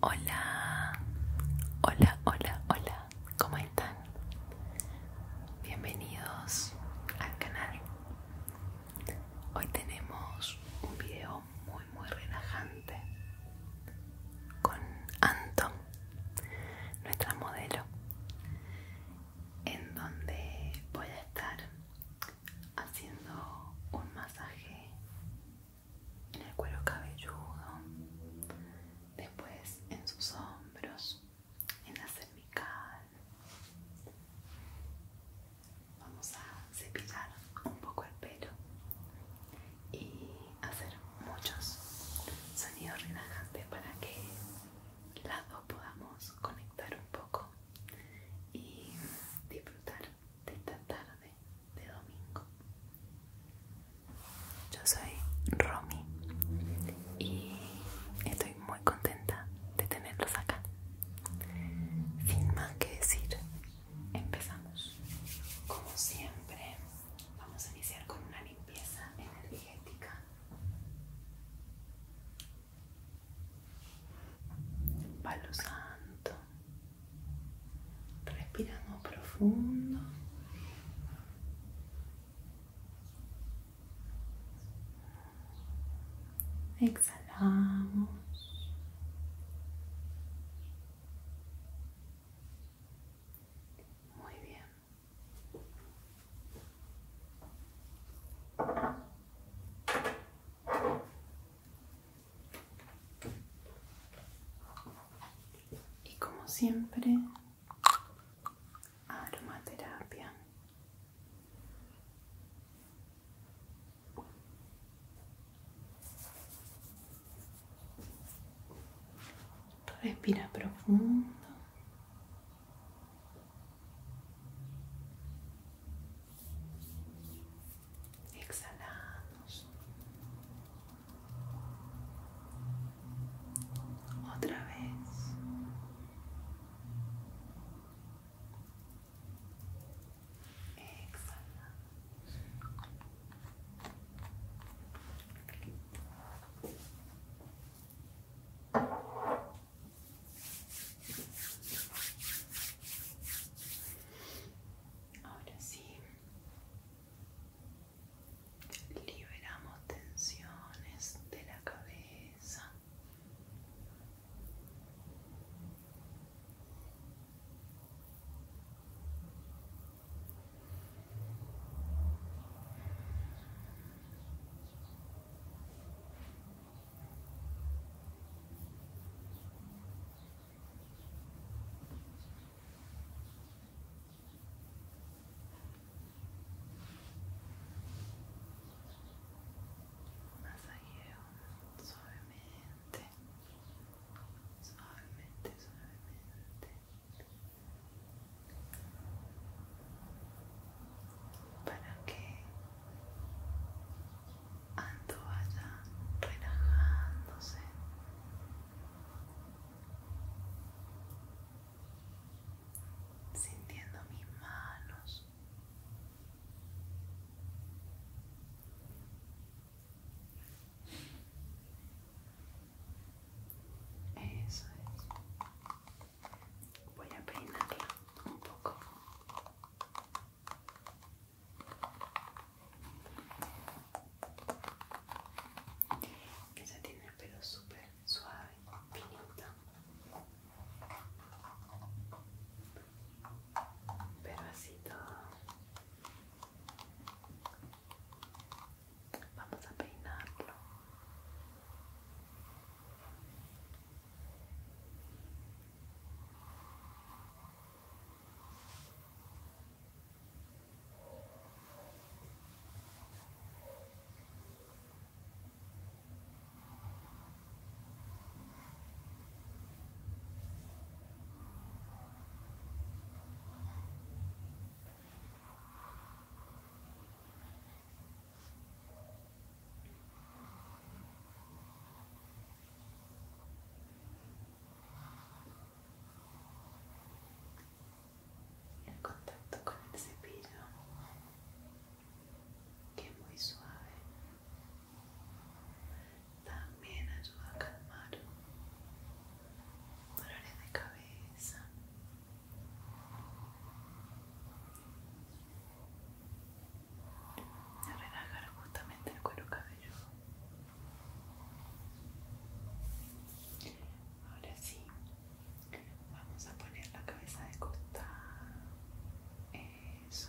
Hola, hola, hola, hola, ¿cómo están? Bienvenidos al canal. Hoy tenemos un video muy muy relajante con Anton, nuestra modelo, en donde voy a estar haciendo un masaje en el cuero cabelludo, después en sus hombros, en la cervical Vamos a cepillar un poco el pelo y hacer muchos sonidos relajantes para que las dos podamos conectar un poco y disfrutar de esta tarde de domingo. Yo soy Romi y estoy muy contenta de tenerlos acá. Sin más que decir, empezamos. Como siempre, vamos a iniciar con una limpieza energética. Palo santo. Respiramos profundo. Exhalamos. Muy bien. Y como siempre, aromaterapia. Respira profundo. Exhalamos. Otra vez. Ahora sí, liberamos tensiones de la cabeza masajeo suavemente suavemente, suavemente. Para que Ando allá relajándose. Sintiendo mis manos eso es. Voy a peinarla un poco. Esa tiene el pelo súper suave, finito. Pero así todo Vamos a peinarlo. Y el contacto con el cepillo que muy suave también ayuda a calmar dolores de cabeza. A relajar justamente el cuero cabelludo. Ahora sí, vamos a poner la cabeza de costado. Eso.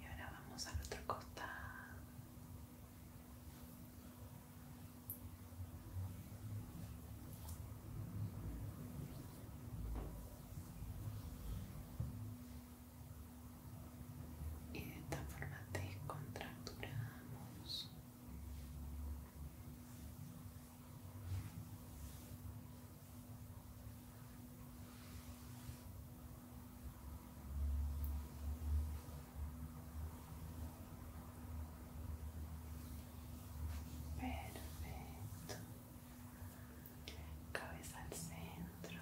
Y ahora vamos al otro costado. Y de esta forma descontracturamos. Perfecto. Cabeza al centro.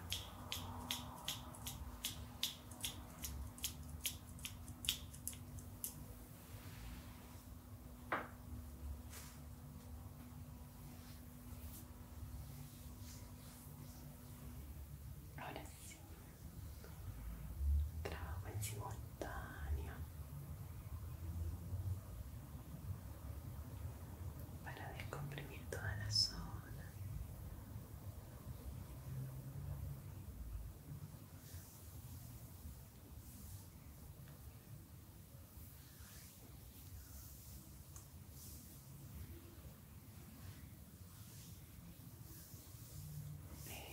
Ahora sí. Trabajo en simultáneo para descomprimir toda la zona.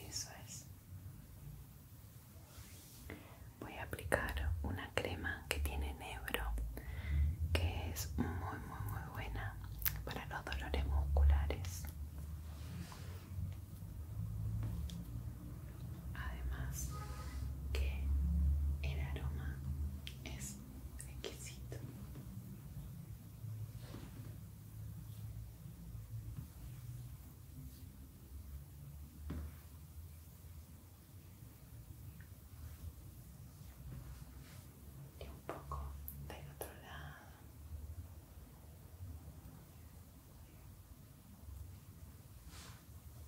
Eso es. Voy a aplicar una crema que tiene negro que es muy, muy, muy buena para los dolores musculares. Además que el aroma es exquisito. Y un poco del otro lado.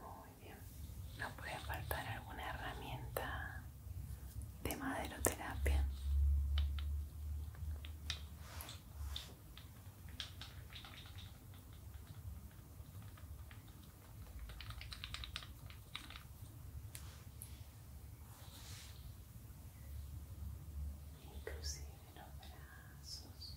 Muy bien. No puede faltar alguna herramienta de maderoterapia. inclusive los brazos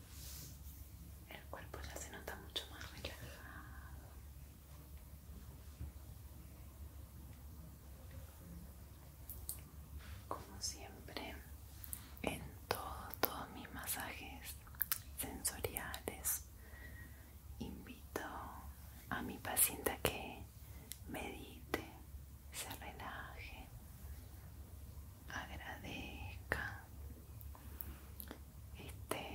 El cuerpo ya se nota mucho más relajado. Como siempre, en todos, mis masajes sensoriales, invito a mi paciente a que medite, se relaje, agradezca esté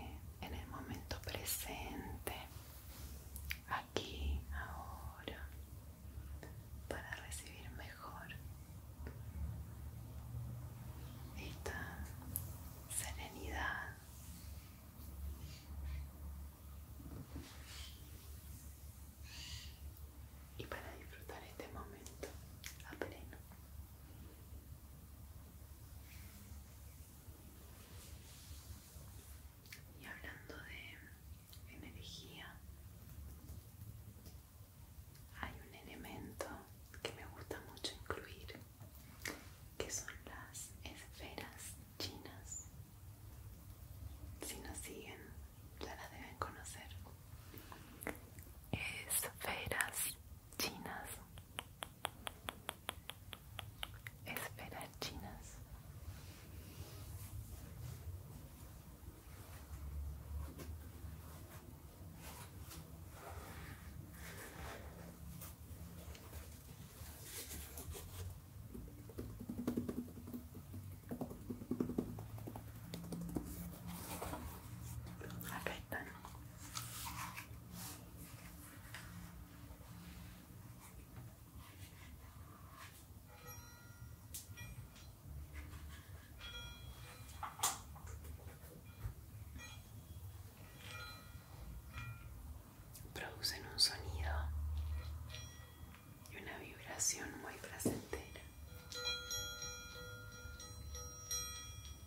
en el momento presente, aquí, ahora, para recibir mejor esta serenidad. Y para disfrutar este momento a pleno. Y hablando de energía, hay un elemento que me gusta mucho incluir, que son las esferas chinas. Si nos siguen, ya las deben conocer. Esferas chinas Espera chinas acá Producen un sonido y una vibración muy placentera.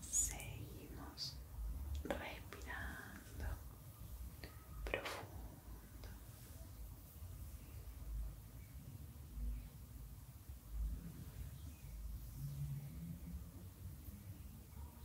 Seguimos respirando profundo.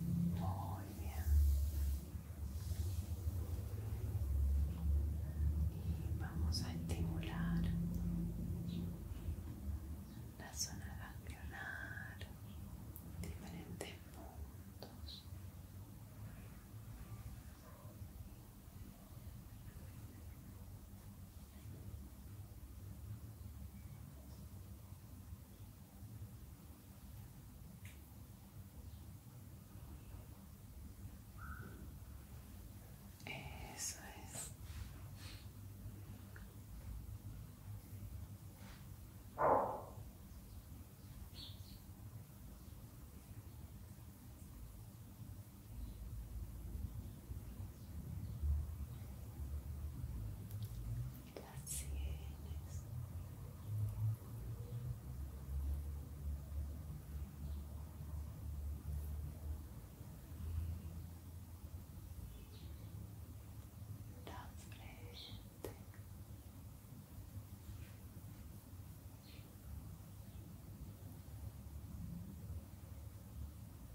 Muy bien. Y vamos a estimular la zona ganglionar, diferentes puntos. Eso es las sienes, la frente.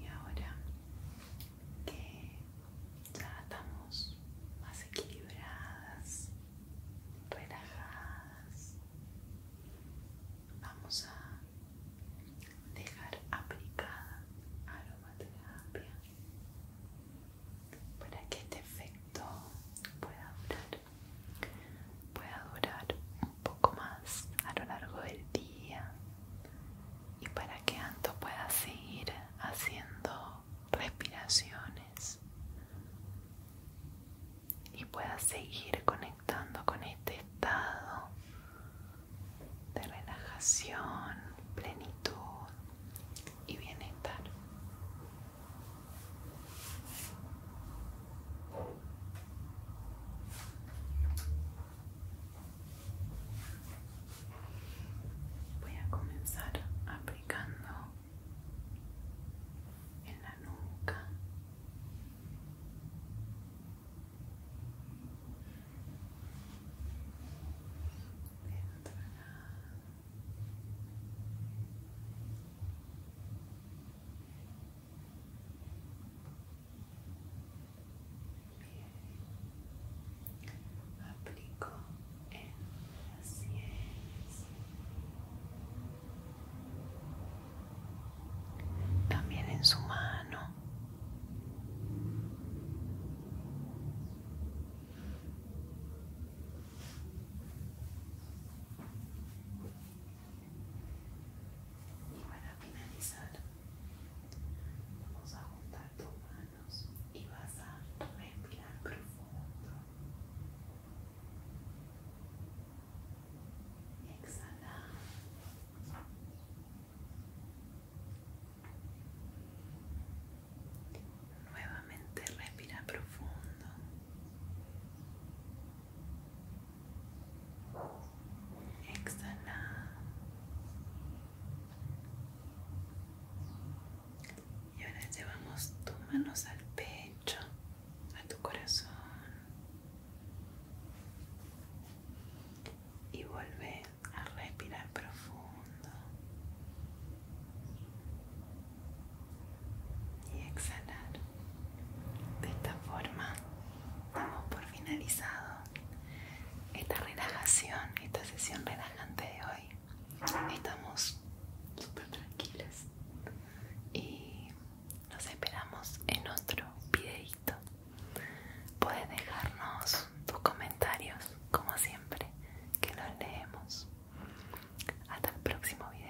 Y ahora que ya estamos más equilibradas, relajadas, vamos a dejar aplicada aromaterapia para que este efecto pueda durar pueda durar un poco más a lo largo del día y para que Anto pueda seguir haciendo respiraciones y pueda seguir conectando con este estado de relajación, plenitud y bienestar. Voy a comenzar aplicando en la nuca aplico en las sienes también en su mano y para finalizar, vamos a juntar tus manos y vas a respirar profundo. Exhala. Nuevamente respira profundo. Exhala. Y ahora llevamos tus manos al pecho, a tu corazón. Y vuelve a respirar profundo y exhalar. De esta forma damos por finalizado esta relajación, esta sesión relajante de hoy. Estamos súper tranquilos y nos esperamos en otro videito. Puedes dejarnos tus comentarios como siempre que los leemos hasta el próximo video.